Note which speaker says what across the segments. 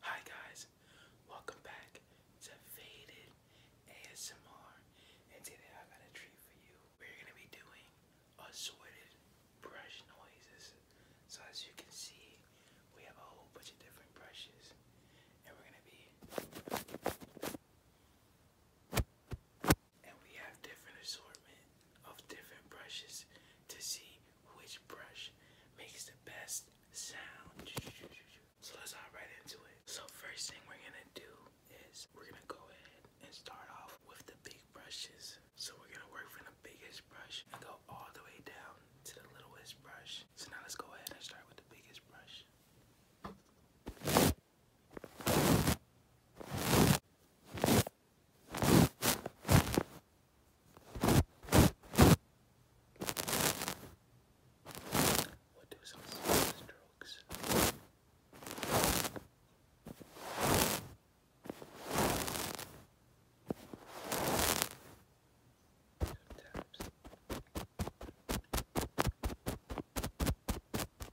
Speaker 1: Hi guys, welcome back to Faded ASMR and today I got a treat for you. We're gonna be doing assorted brush noises. So as you can see, we have a whole bunch of different brushes and we're gonna be and we have different assortment of different brushes to see which brush makes the best sound. So let's hop right into it. So first thing we're gonna do is we're gonna go ahead and start off with the big brushes. So we're gonna work from the biggest brush and go all the way down to the littlest brush. So now let's go ahead and start with the biggest brush. We'll do some strokes. Sometimes.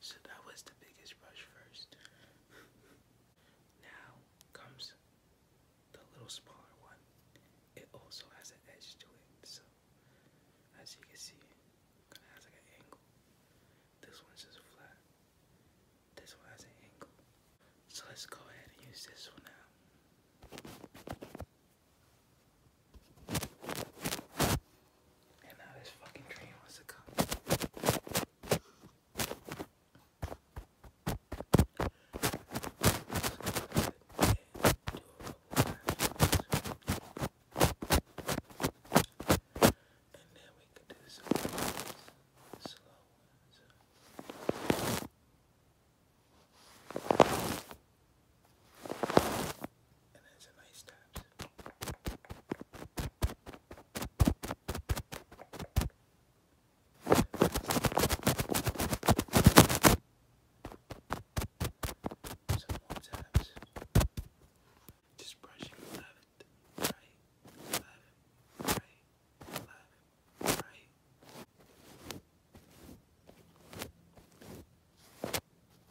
Speaker 1: So that was the biggest rush first. now comes the little smaller one. It also has an edge to it, so as you can see, kind of has like an angle. This one's just flat. This one has an angle. So let's go ahead and use this one now. And now this fucking train wants to come. And then we can do some slow ones. And that's a nice time. Some more tabs. Just brushing left, right, left, right, left, right.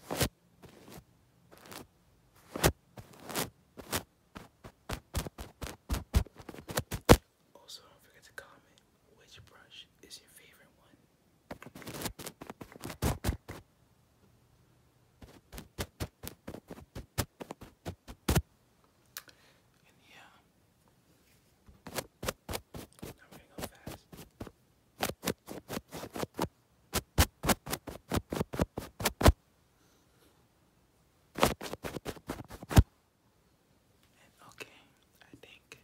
Speaker 1: Brushing also, don't forget to comment which brush is your favorite one. And yeah, now we gonna go fast okay, I think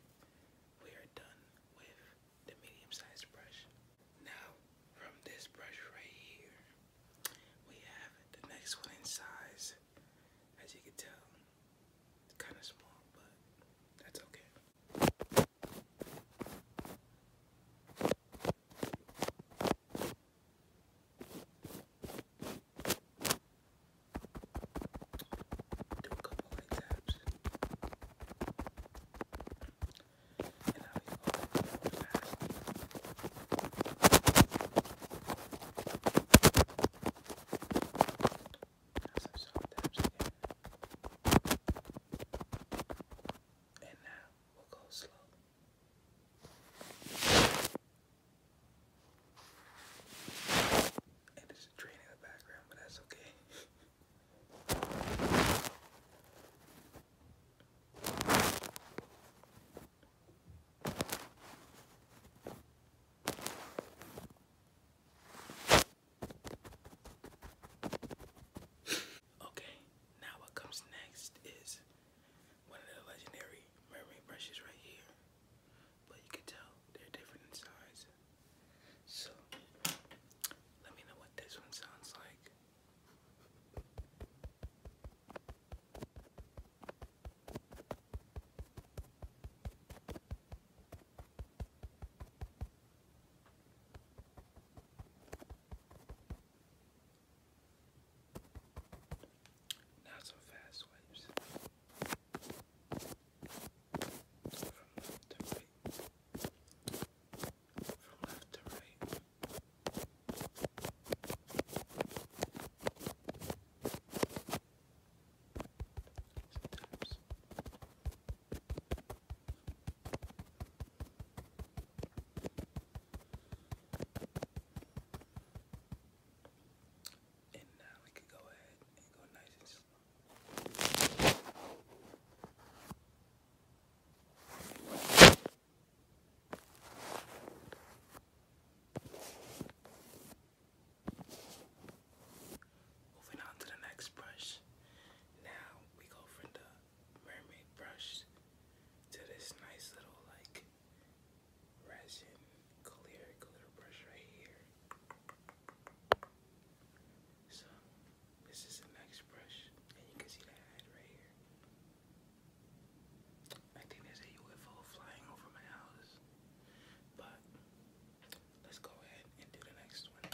Speaker 1: we are done with the medium sized brush. Now, from this brush right here, we have the next one in size. As you can tell, kind of small, but that's okay. Do a couple light taps. And I'll be all fast. Now some soft taps again. And now we'll go slow. And there's a train in the background, but that's okay. Okay, now what comes next is one of the legendary mermaid brushes right here. But you can tell they're different in size. So, let me know what this one sounds like. Not so fast waves. From left to right. From left to right. Sometimes. And now we could go ahead and go nice and slow. Moving on to the next brush. Now we go from the mermaid brush to this nice little like resin clear glitter brush right here. So this is the next brush and you can see the head right here. I think there's a UFO flying over my house. But let's go ahead and do the next one.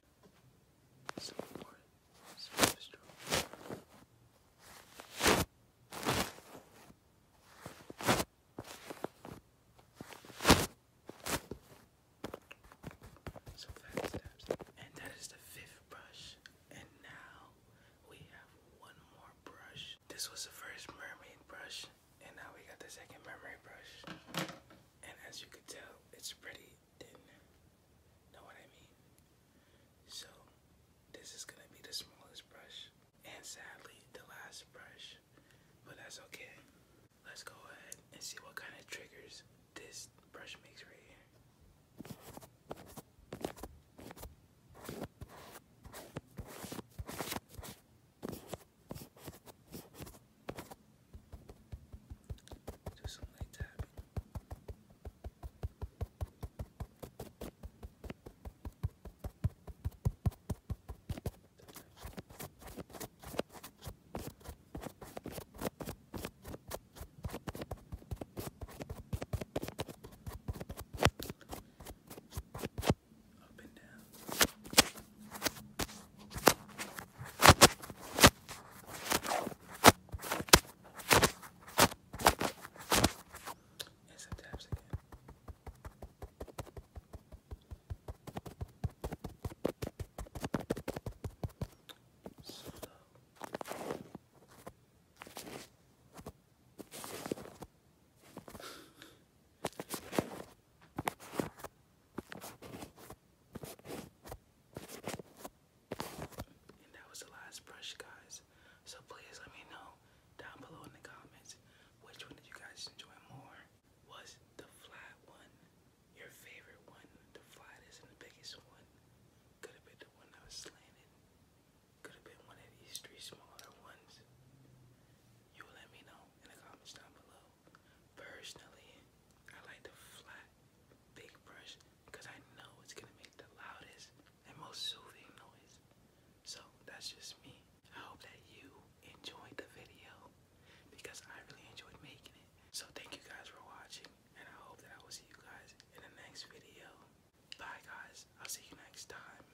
Speaker 1: Support. Self-destruct. So fast steps. And that is the fifth brush. And now we have one more brush. This was the first mermaid brush. And now we got the second mermaid brush and as you can tell, it's pretty thin. Know what I mean? So, this is gonna be the smallest brush, and sadly, the last brush, but that's okay. Let's go ahead and see what kind of triggers this brush makes right here. Do some light tapping up and down. And some taps again. So and that was the last brush, guys. So please let me know down below in the comments which one did you guys enjoy more? Was the flat one your favorite one? The flattest and the biggest one? Could have been the one that was slanted. Could have been one of these three smaller ones. You let me know in the comments down below personally, I like the flat, big brush because I know it's gonna make the loudest and most soothing noise. So that's just me. I hope that you enjoyed the video because I really enjoyed making it. So thank you guys for watching and I hope that I will see you guys in the next video. Bye guys, I'll see you next time.